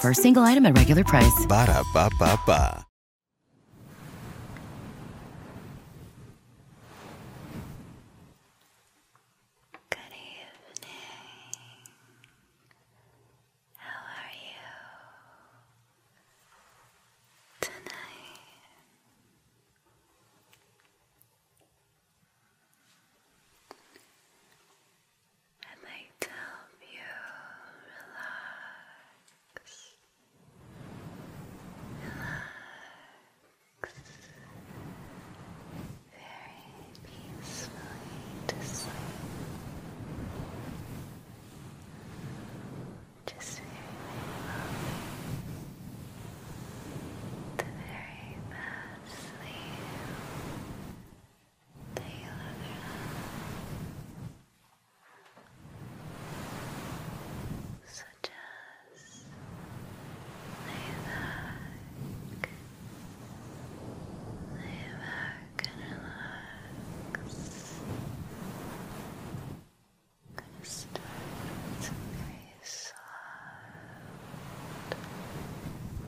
For a single item at regular price. Ba da ba ba Good evening. How are you tonight? and they tell you relax, relax, very peacefully to sleep. Just very, very The very best sleep that you such as lay back, lay back and relax. I'm to start with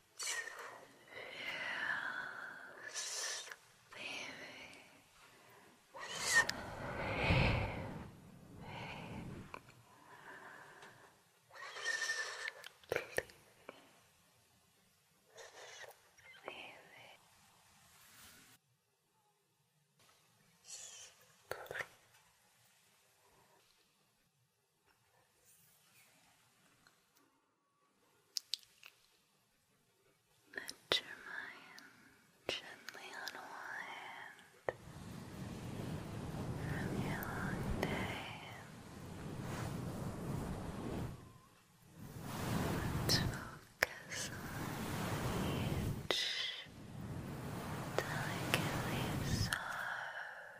Yes, sleeping, sleeping, sleeping. Sleep. Sleep. Let your mind gently unwind from your long day. focus on each delicately soft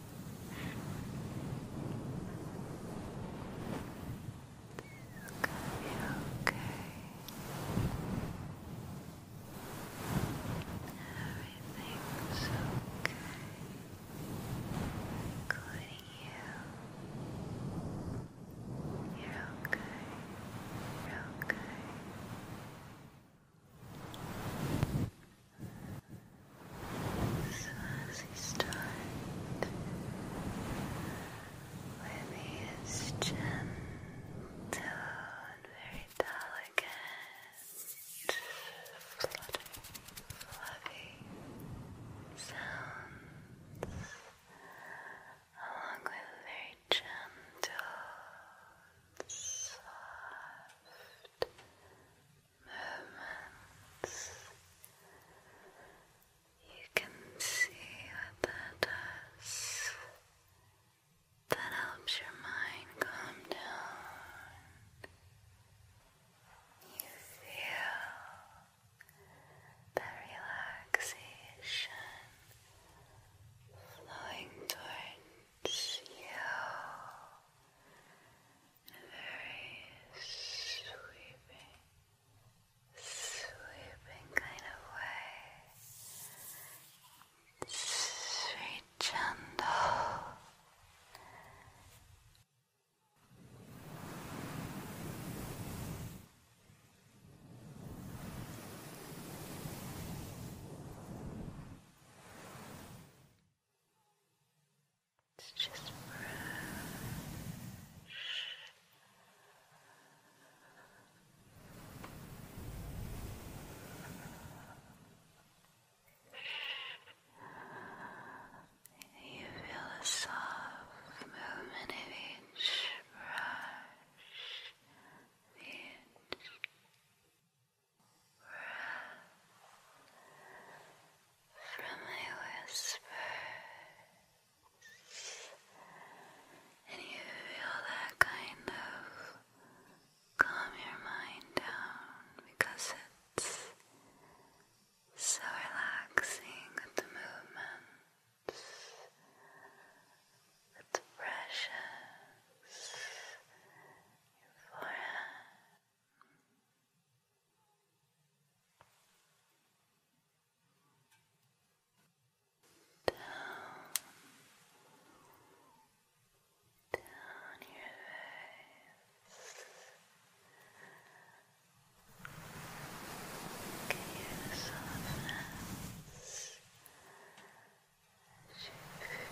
okay. Everything's okay, including you. You're okay. You're okay. So as he started with his gentle and very delicate, flutter, fluffy sounds, along with very gentle, soft moments. You can see what that does. That helps your mind calm down. You feel the relaxation flowing towards you very sweeping, sweeping kind of way. Sweet, gentle. It's just brush. You feel a soft movement of each brush. Each Breath from my whispers, and you feel that kind of calm your mind down because it's so relaxing the movements, the brushes, your down, down your face. Can you hear the softness? As you feel it.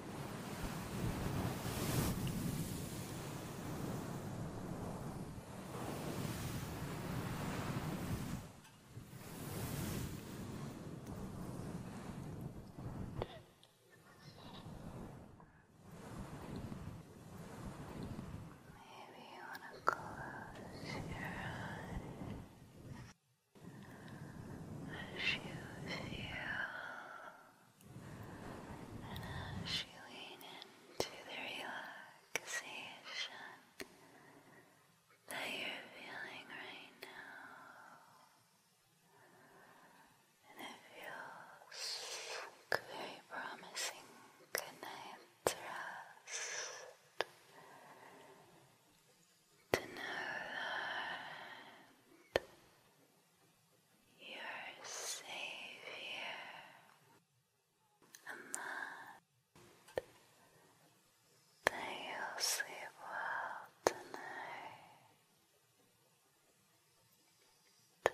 Maybe you want to close your eyes as you feel and as you lean into the relaxation that you're feeling right now, and it feels very promising good To know that your Savior, and that they will sleep well tonight. Tight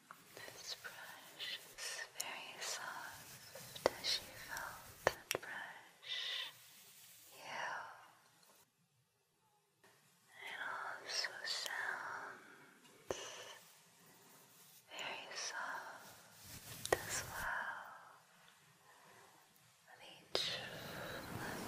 This brush is very soft as she felt that brush heal. It also sounds very soft as well. each fluffy brush,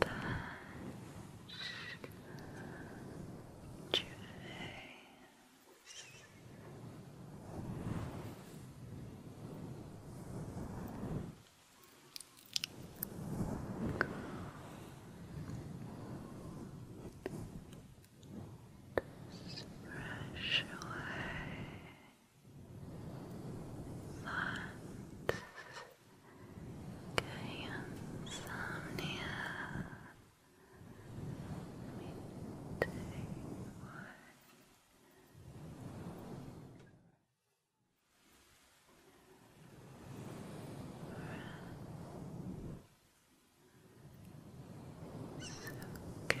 touch you face just brush away lots okay, insomnia let me okay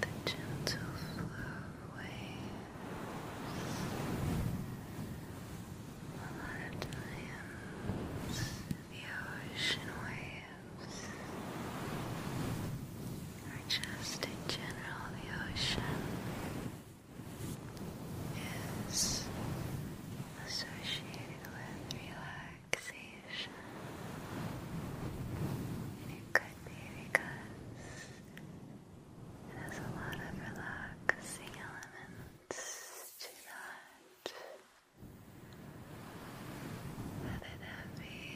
The gentle flow waves. A lot of times the ocean waves or just in general the ocean is associated with relaxation and it could be because it has a lot of relaxing elements to that whether that be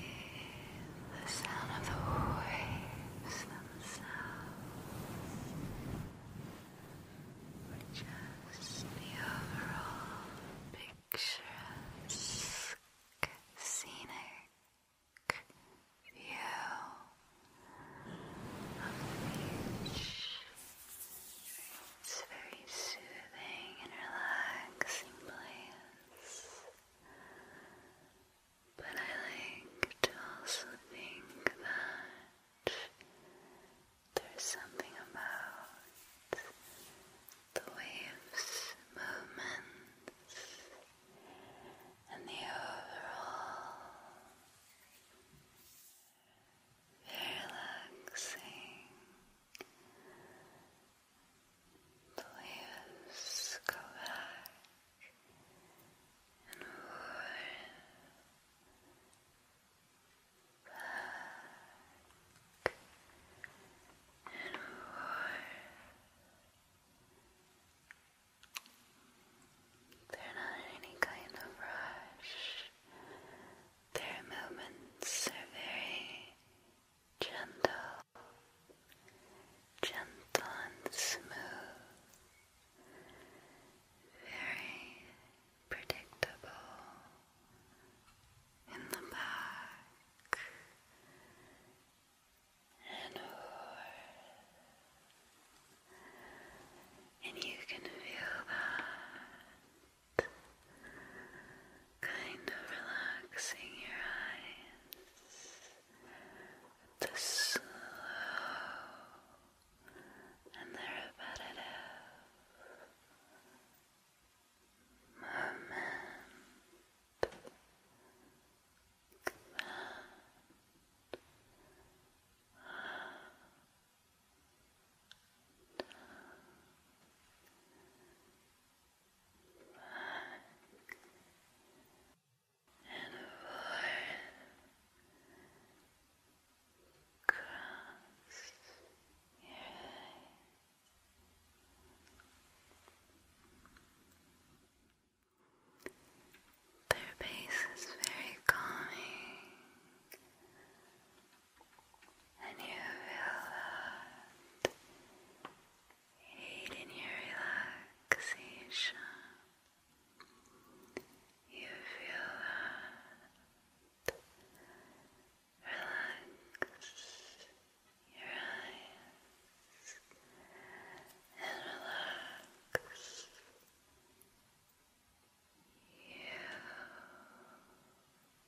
the sound of the waves themselves, just the overall picturesque, scenic view of the beach. It's very soothing and relaxing But I like to also think that there's something about the waves' movements and the overall relaxing Please go back and warm back and warm. They're not any kind of rush. Their movements are very gentle, gentle and smooth, very predictable in the back and forth, and you can feel kind of relaxing your eyes the slow and the repetitive movement back and forth across your Their bass is very calming and you feel that in your relaxation. You feel relax your eyes and relax you.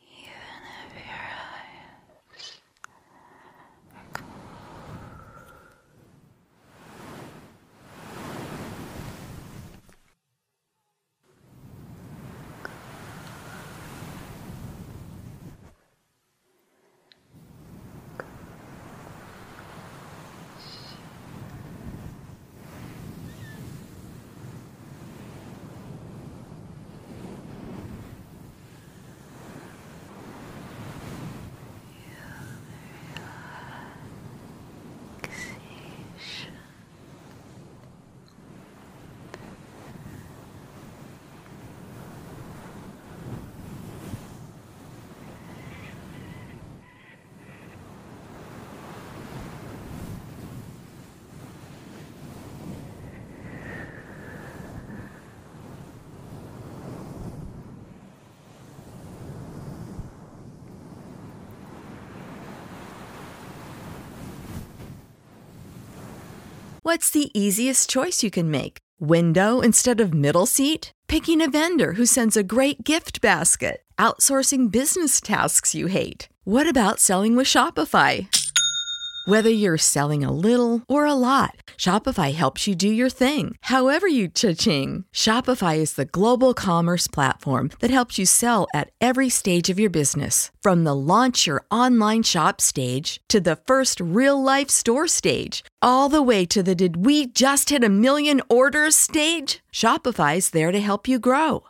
even if your eyes Close relaxation. Relaxation. What's the easiest choice you can make? Window instead of middle seat? Picking a vendor who sends a great gift basket? Outsourcing business tasks you hate? What about selling with Shopify? Whether you're selling a little or a lot, Shopify helps you do your thing, however you cha-ching. Shopify is the global commerce platform that helps you sell at every stage of your business. From the launch your online shop stage to the first real life store stage, all the way to the did we just hit a million orders stage? Shopify's there to help you grow.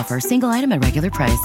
offer. Single item at regular price.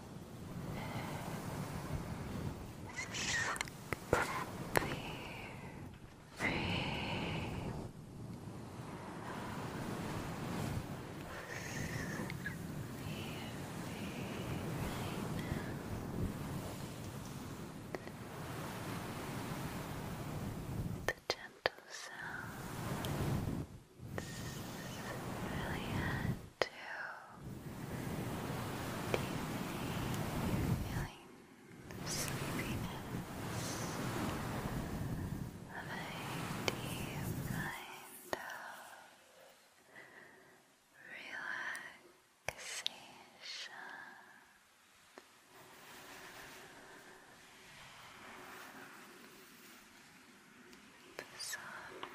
Happy, free. The gentle sound really had to deepen feeling sleepiness of a deep kind of relaxation. The softness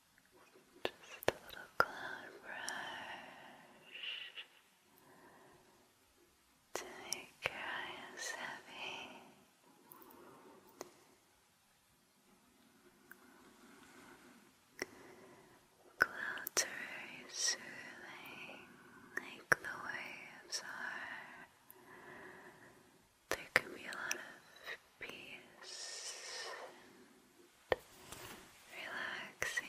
Just a little cloud brush to make your eyes Clouds are soothing, like the waves are. There can be a lot peace relaxation,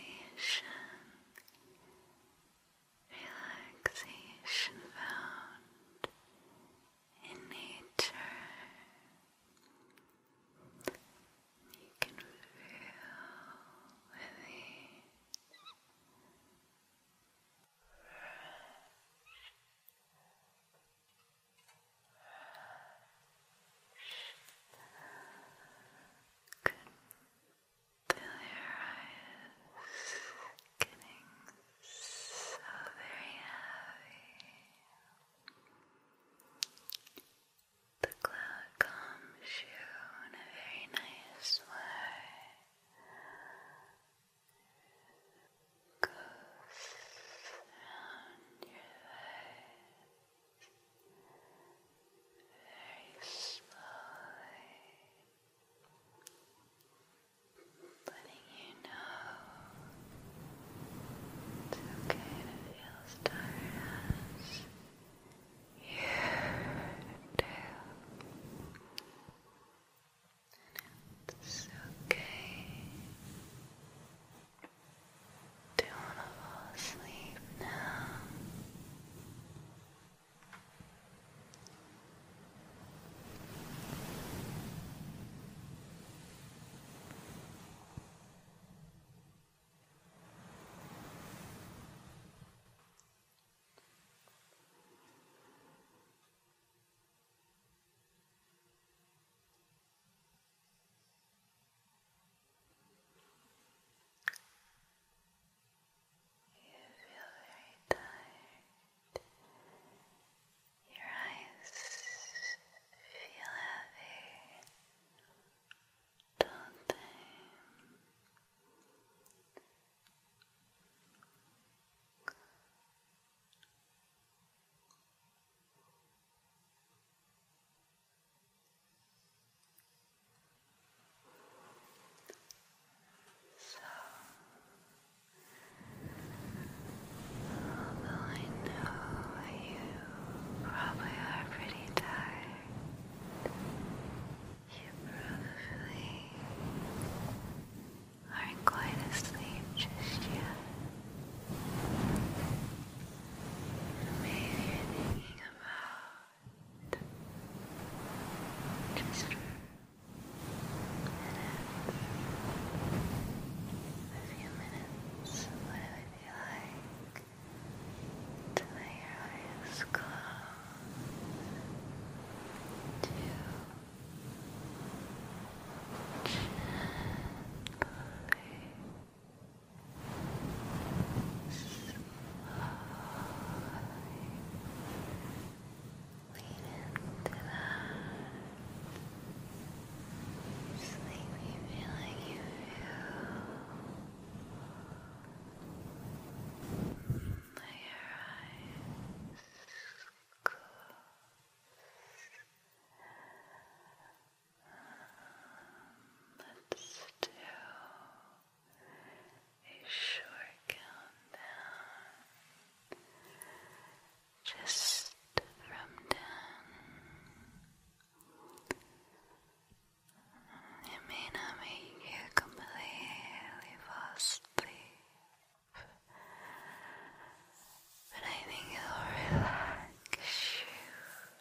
relaxation found in nature. You can feel relief. Brush, Good. Feel your eyes getting so very heavy. The cloud calms you in a very nice way. Goes around your legs. Very slowly letting you know it's okay to feel tired you do. And it's okay do you want to fall asleep now? You feel very tired. Your eyes feel heavy, don't they? So, although I know you probably are pretty tired, you probably aren't quite asleep just yet. Maybe you're thinking about just minutes, a few minutes. What it would be like to let your eyes close, gently into that sleepy feeling you feel. Let your eyes close. Let's do a short countdown just from ten. It may not make you completely fall asleep, but I think it'll relax you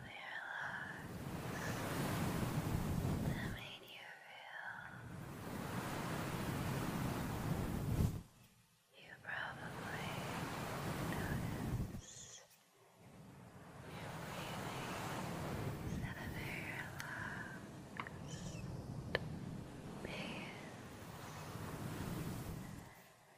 relax that made you feel. You probably notice your breathing at a very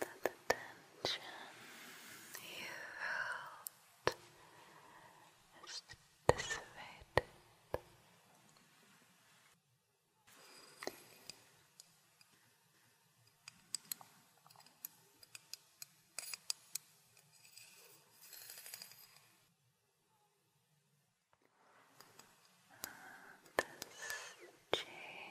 that the you felt is dissipated. This jade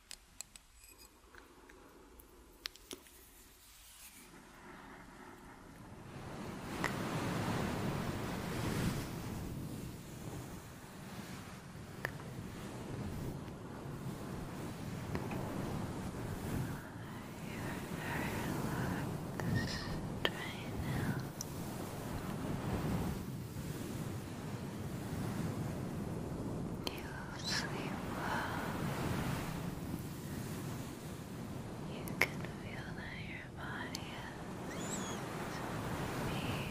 You're very relaxed right now. You sleep well. You can feel that your body is peace. And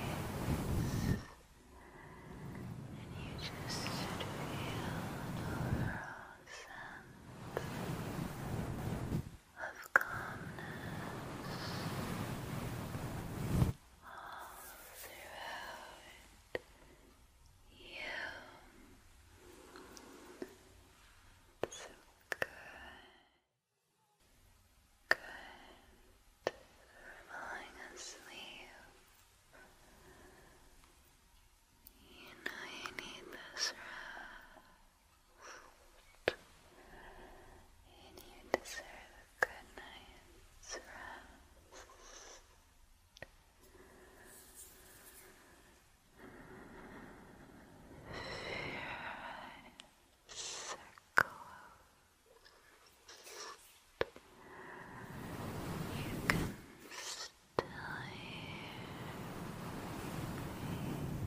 you just should feel an overall sense of calmness all throughout you. So good. Good. Falling asleep. You know you need this rest. And you deserve a good night's rest. Your eyes are You can still hear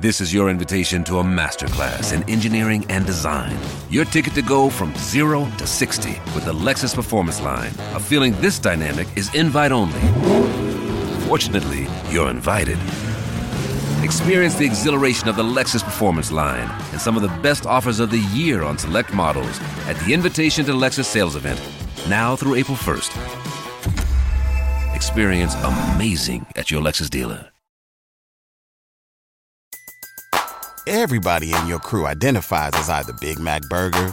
This is your invitation to a masterclass in engineering and design. Your ticket to go from zero to 60 with the Lexus Performance Line feeling this dynamic is invite only. Fortunately, you're invited. Experience the exhilaration of the Lexus Performance line and some of the best offers of the year on select models at the Invitation to Lexus sales event, now through April 1st. Experience amazing at your Lexus dealer. Everybody in your crew identifies as either Big Mac Burger,